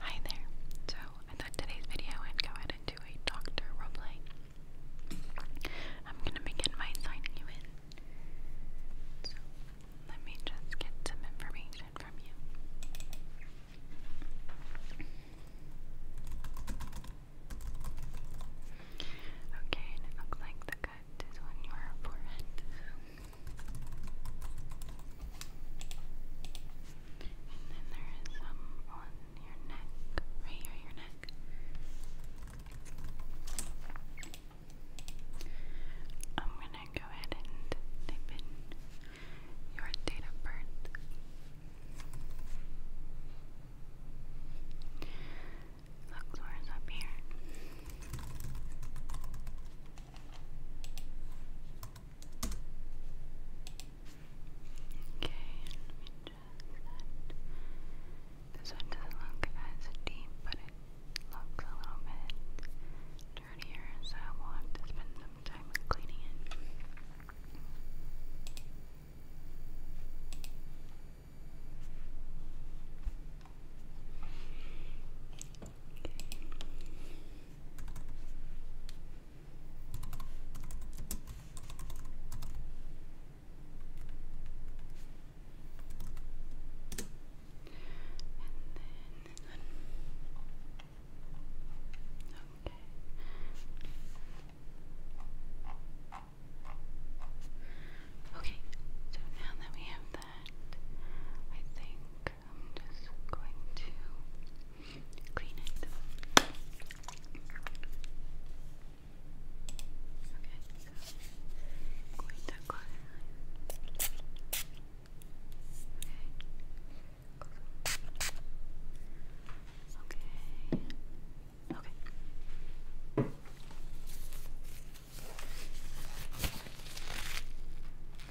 Hi there. So I thought today's video I'd go ahead and do a doctor roleplay. I'm gonna begin by signing you in. So let me just get some information from you. Okay, and it looks like the cut is on your forehead. And then there is some on your neck, right here, your neck. I'm gonna go ahead and type in your date of birth. Luxor is up here. Okay, let This one doesn't look as deep, but it looks a little bit dirtier, so I will have to spend some time cleaning it. Okay, so now that we have that, I think I'm just going to clean it. Okay, going to clean Okay. Okay.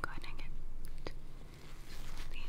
Go ahead and get these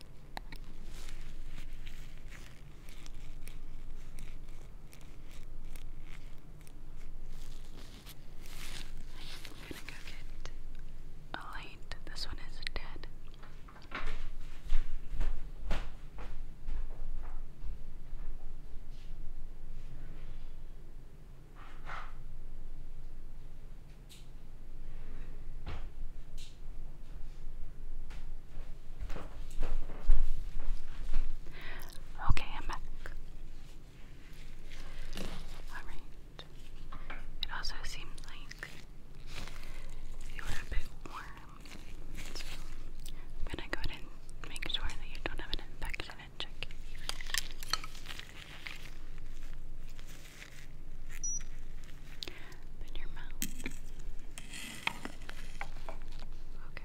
I'm gonna go get a oh, This one is dead. Oh, Okay, I'm back. Alright. It also seems like you were a bit warm. I'm gonna go ahead and make sure that you don't have an infection and check it. Open your mouth. Okay. Okay.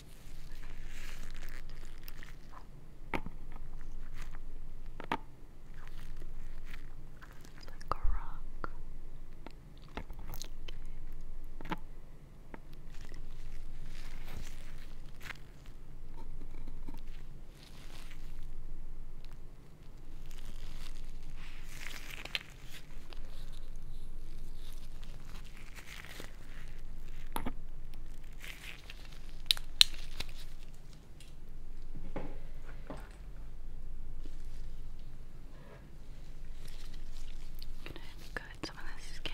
It's like a rock. Okay. Okay. Gonna cut some of the skin.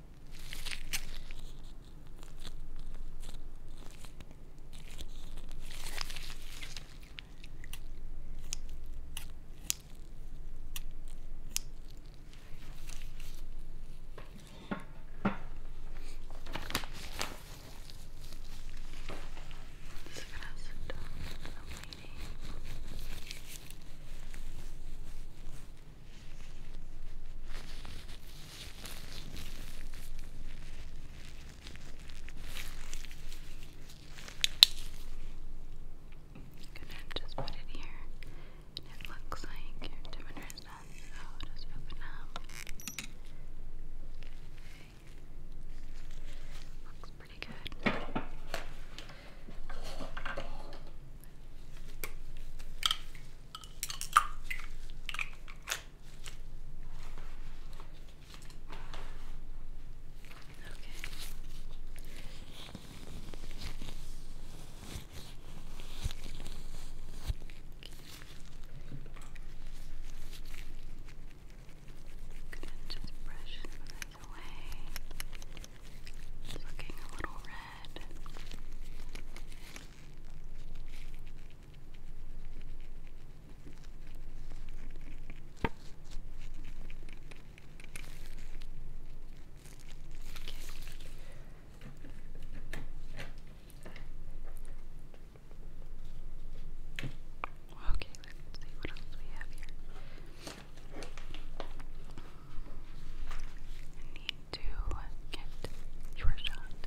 This is gonna have some dog, some Gonna just put it here, it looks like you're doing so just open up. Looks pretty good. Good, just brush this away. It's looking a little red good. Okay, let's see what else we have here need to get your shot.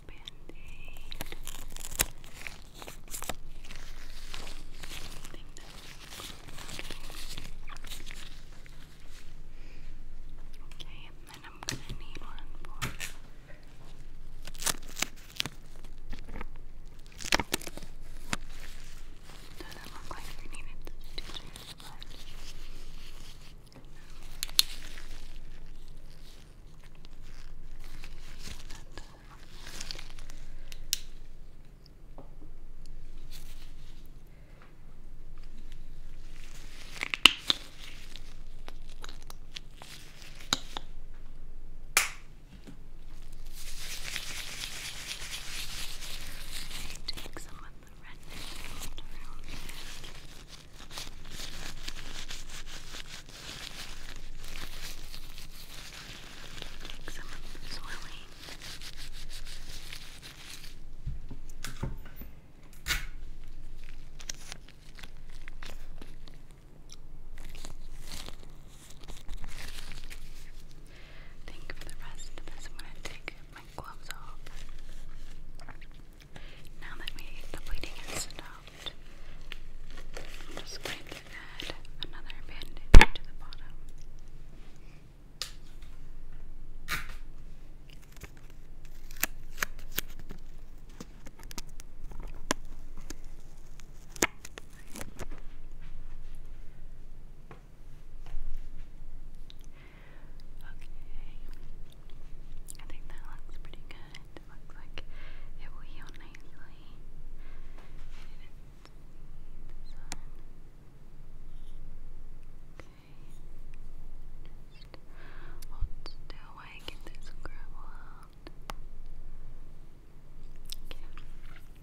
band-aid. okay, and then I'm gonna need one for doesn't look like we needed stitches, but um, Take some of the red around here. Take some of this oily. I think for the rest of this, I'm going to take my gloves off. Now that we, the bleeding has stopped, I'm just going to add another bandage to the bottom. Okay, I think that looks pretty good it looks like it will heal nicely. Okay. Just hold still while I get this gravel out. Okay.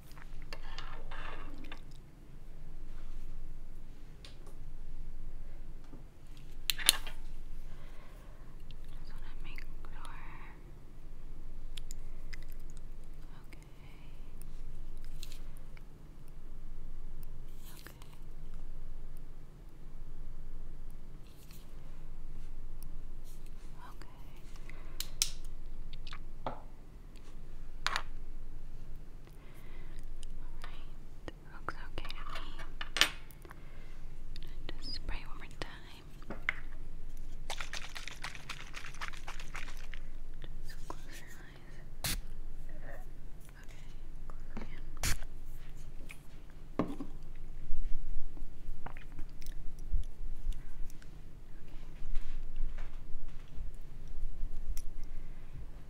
Just want to make sure. Okay. Okay. Okay. All right. Looks okay just spray one more time. Just close your eyes. Okay,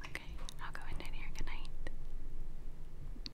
Okay, I'll go in here. Good night.